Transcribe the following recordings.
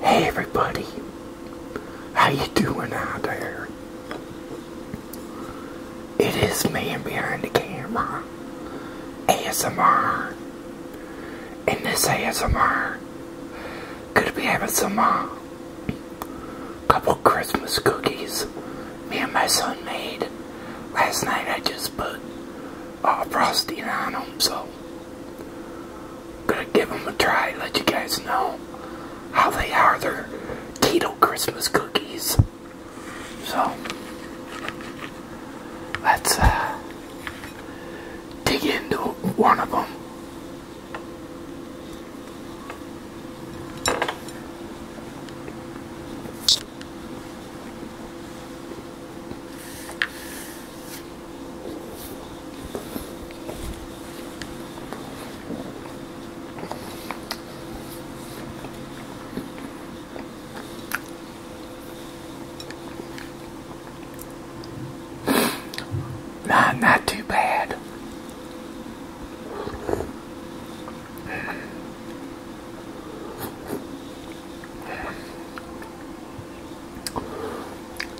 Hey everybody, how you doing out there? It is man behind the camera, ASMR, and this ASMR could be having some uh, couple Christmas cookies me and my son made last night. I just put all uh, frosting on them, so. Gonna give them a try, let you guys know how they are. They're keto Christmas cookies. So, let's uh, dig into one of them. Not, not too bad.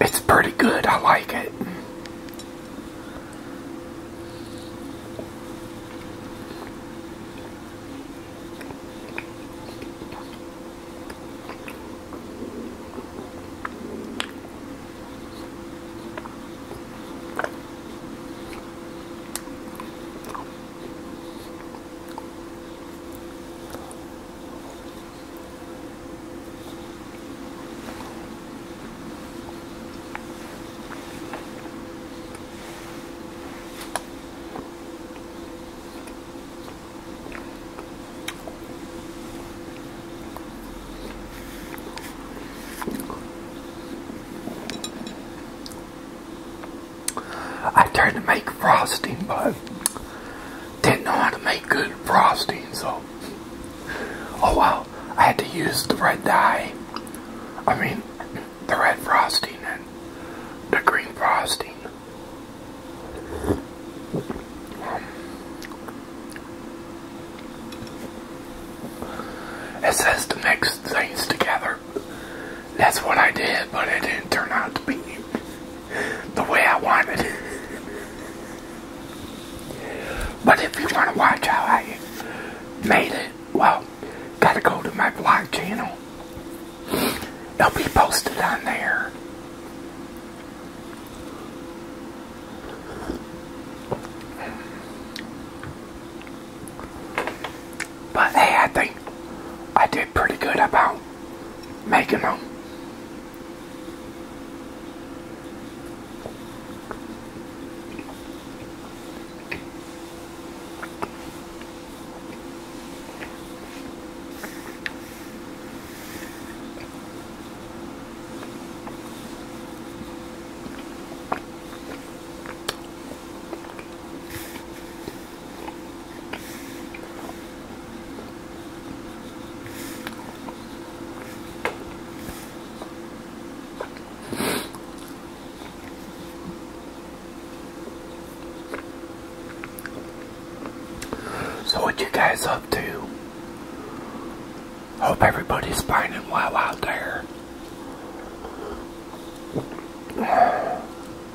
It's pretty good. I like it. I tried to make frosting, but didn't know how to make good frosting, so oh well, I had to use the red dye. I mean, the red frosting and the green frosting. it says to mix things together. That's what I did, but it didn't turn out to be the way I wanted. but if you want to watch how I made it, well, gotta go to my blog channel. It'll be posted on there. But hey, I think I did pretty good about making them. So what you guys up to? Hope everybody's fine and well out there.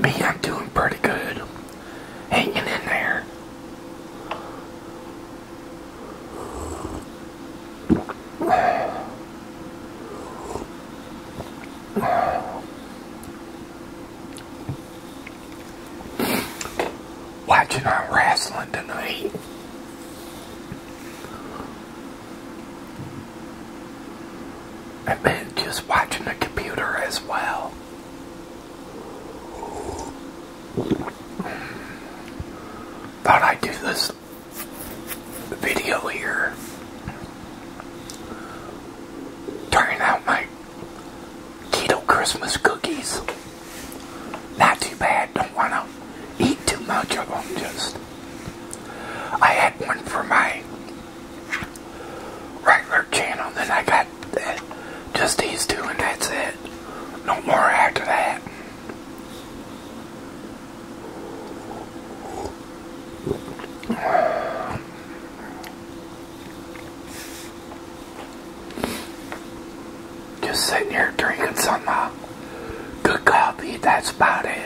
Me, I'm doing pretty good. Hanging in there. Watching our wrestling tonight. I mean, just watching the computer as well. Thought I'd do this video here. Turning out my keto Christmas cookies. Not too bad, don't want to eat too much of them, just I had one for my regular channel, then I got just these two, and that's it. No more after that. Just sitting here drinking some uh, good copy. that's about it.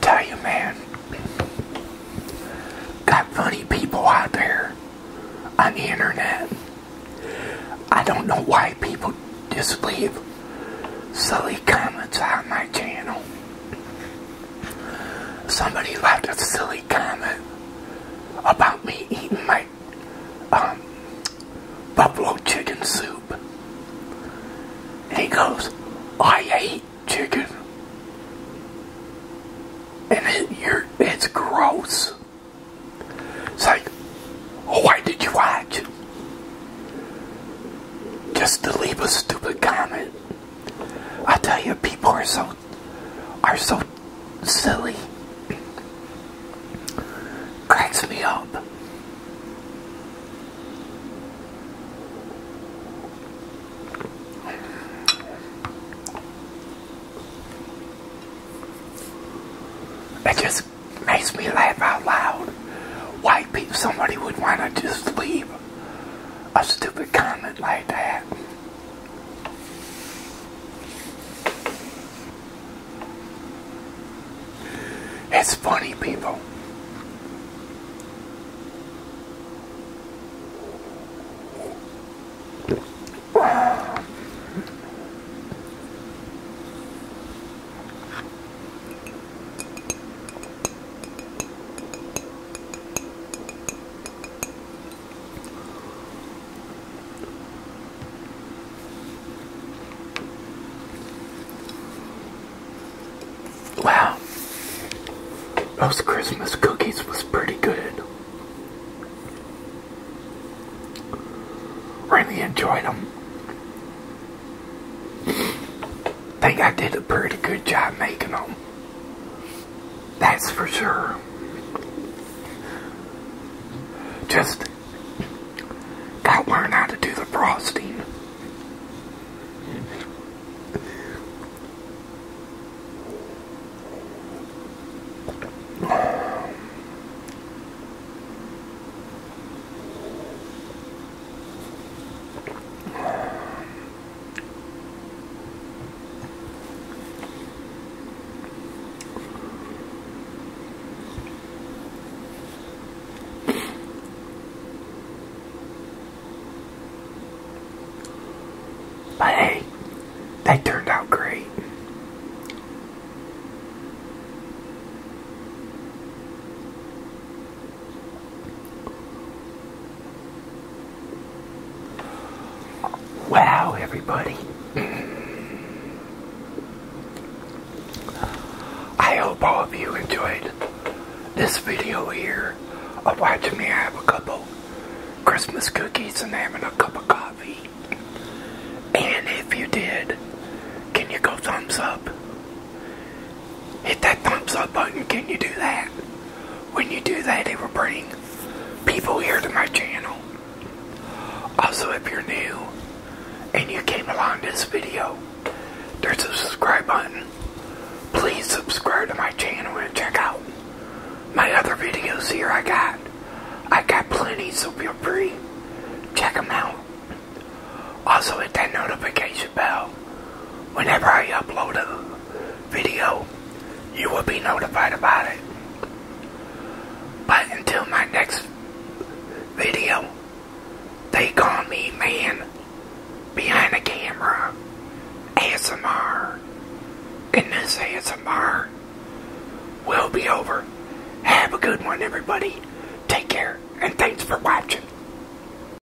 Tell you, man, got funny people out there on the internet. I don't know why people just leave silly comments on my channel somebody left a silly comment about me eating my um, buffalo chicken soup. And he goes, oh, I hate chicken. And it's gross. It's like, why did you watch? Just to leave a stupid comment. I tell you, people are so are so silly. Cracks me up. It just makes me laugh out loud. White people, somebody would want to just leave a stupid comment like that. It's funny, people. Wow, those Christmas cookies was pretty good. Really enjoyed them. Think I did a pretty good job making them. That's for sure. Just gotta learn how to do the frosting. But hey, they turned out great. Wow, everybody. I hope all of you enjoyed this video here of watching me have a couple Christmas cookies and having a cup of coffee. And if you did, can you go thumbs up? hit that thumbs up button. Can you do that? When you do that, it will bring people here to my channel. Also, if you're new and you came along this video, there's a subscribe button. Please subscribe to my channel and check out my other videos here I got. I got plenty, so feel free. Check them out. Also, hit that notification bell whenever I upload a video, you will be notified about it. But until my next video, they call me man behind the camera, ASMR. Goodness, ASMR will be over. Have a good one, everybody. Take care, and thanks for watching.